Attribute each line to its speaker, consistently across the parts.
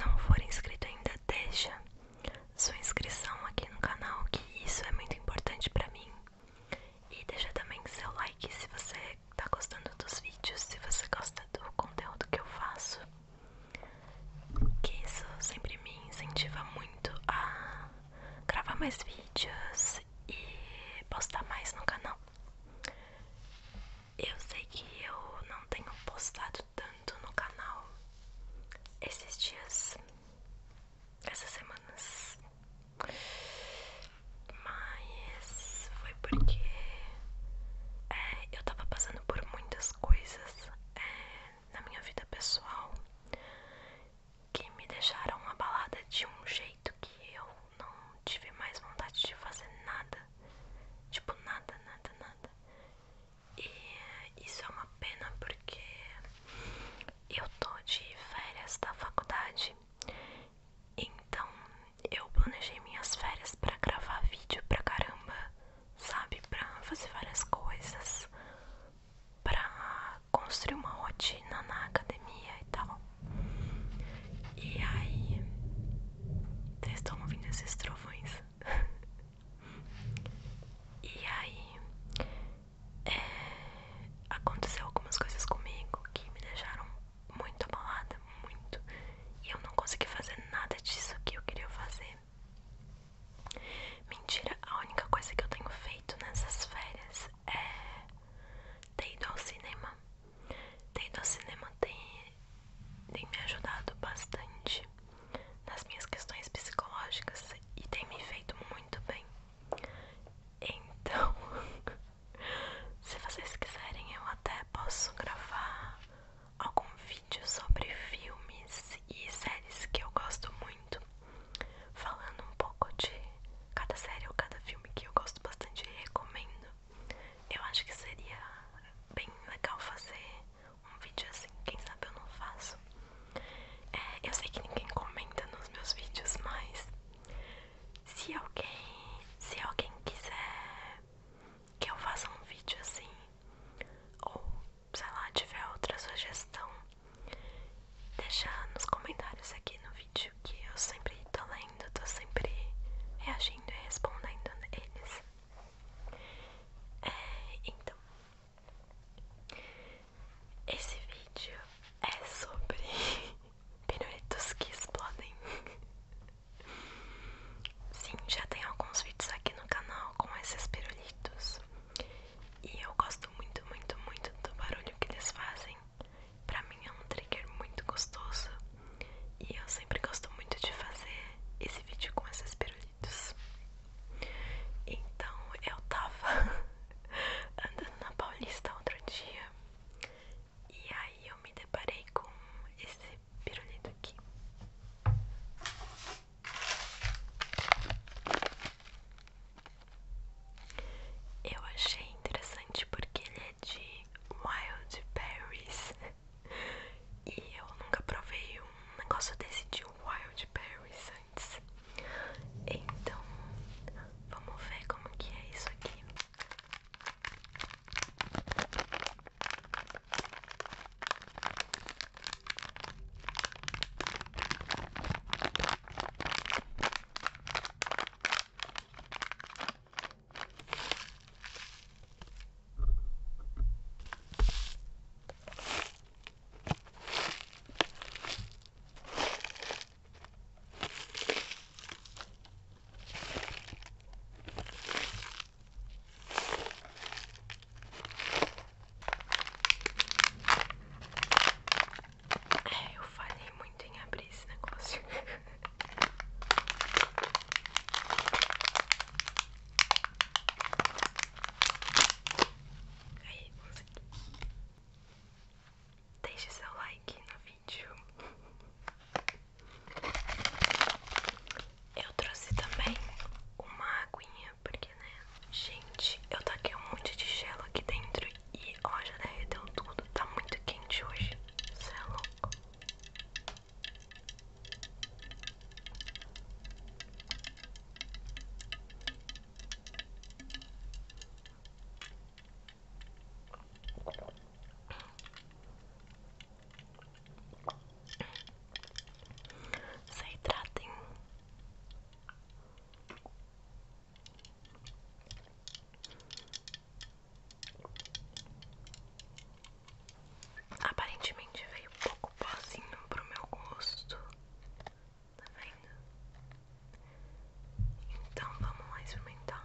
Speaker 1: não for inscrito ainda, deixa sua inscrição aqui no canal, que isso é muito importante pra mim. E deixa também seu like se você tá gostando dos vídeos, se você gosta do conteúdo que eu faço. Que isso sempre me incentiva muito a gravar mais vídeos e postar mais no canal. Eu sei que eu não tenho postado tanto no canal esses dias, essas semanas, mas foi porque é, eu tava passando por muitas coisas é, na minha vida pessoal que me deixaram abalada de um jeito que eu não tive mais vontade de fazer nada Tipo, nada, nada, nada. E isso é uma pena porque eu tô de férias da faculdade. Então eu planejei minhas férias pra gravar vídeo pra caramba, sabe? Pra fazer várias coisas, pra construir uma rotina na academia e tal. E aí, vocês estão ouvindo esses trovões? e aí, é, aconteceu algumas coisas comigo que me deixaram muito abalada, muito. E eu não consegui fazer nada disso que eu queria fazer. Mentira, a única coisa que eu tenho feito nessas férias é ter ido ao cinema. Tendo o cinema tem me ajudado bastante nas minhas questões psicológicas e tem me feito muito bem. Então, se vocês quiserem, eu até posso gravar algum vídeo sobre filmes e séries que eu gosto muito, falando um pouco de cada série ou cada filme que eu gosto bastante e recomendo. Eu acho que seria bem legal fazer um vídeo assim, quem sabe eu não faço. É, eu sei que ninguém comenta nos meus vídeos, mas se alguém, se alguém quiser que eu faça um vídeo assim, ou sei lá, tiver outra sugestão, deixa nos comentários aqui no vídeo que eu sempre tô lendo, tô sempre reagindo e respondendo eles. É, então, esse vídeo é sobre piruetos que explodem. Sim, já tem alguns vídeos aqui no canal com esses pirulitos. E eu gosto muito, muito, muito do barulho que eles fazem assim, pra mim é um trigger muito gostoso e eu sempre gosto muito de fazer esse vídeo com esses pirulitos. Então eu tava andando na Paulista outro dia e aí eu me deparei com esse pirulito aqui. Eu achei interessante porque ele é de Wild Berries. E eu nunca provei um negócio desse de Wild Berries antes. Então, vamos ver como que é isso aqui. É, eu falei muito em abrir esse negócio. Deixe seu like no vídeo. Eu trouxe também uma aguinha, porque né? Gente, eu taquei um monte de gelo aqui dentro e ó, já derreteu tudo. Tá muito quente hoje. Você é louco. Se hidratem. Aparentemente veio pouco pozinho pro meu gosto. Tá vendo? Então vamos mais experimentar.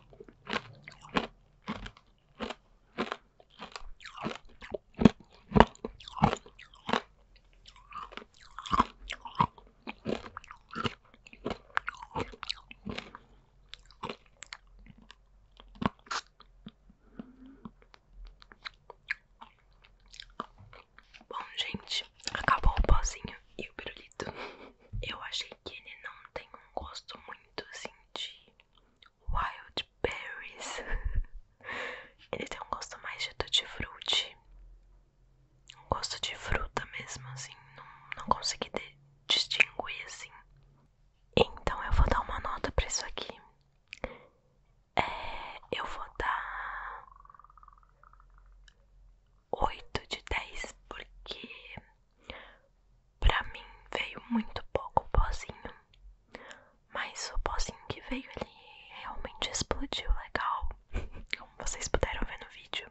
Speaker 1: Bom, gente, acabou o pozinho e o pirulito. Eu achei que ele não tem um gosto muito assim de wild berries. ele tem um gosto mais de tutti-frutti. Um gosto de fruta mesmo, assim. Não, não consegui distinguir assim. Então eu vou dar uma nota pra isso aqui. É, eu vou dar 8 de 10, porque pra mim veio muito pouco pozinho. Mas o pozinho que veio, ele realmente explodiu legal, como vocês puderam ver no vídeo.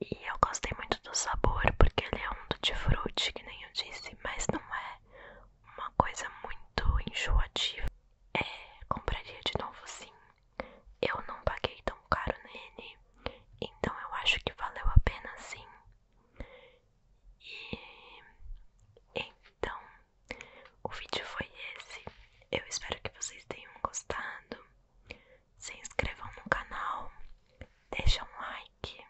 Speaker 1: E eu gostei muito do sabor, porque ele é um tutti-frutti, que nem eu disse, mas não é uma coisa muito enjoativa. É, compraria de novo sim, eu não paguei tão caro nele, então eu acho que valeu a pena sim. E então o vídeo foi esse. Eu espero que vocês tenham gostado. Se inscrevam no canal, deixem um like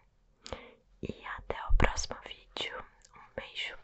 Speaker 1: e até o próximo vídeo. Um beijo.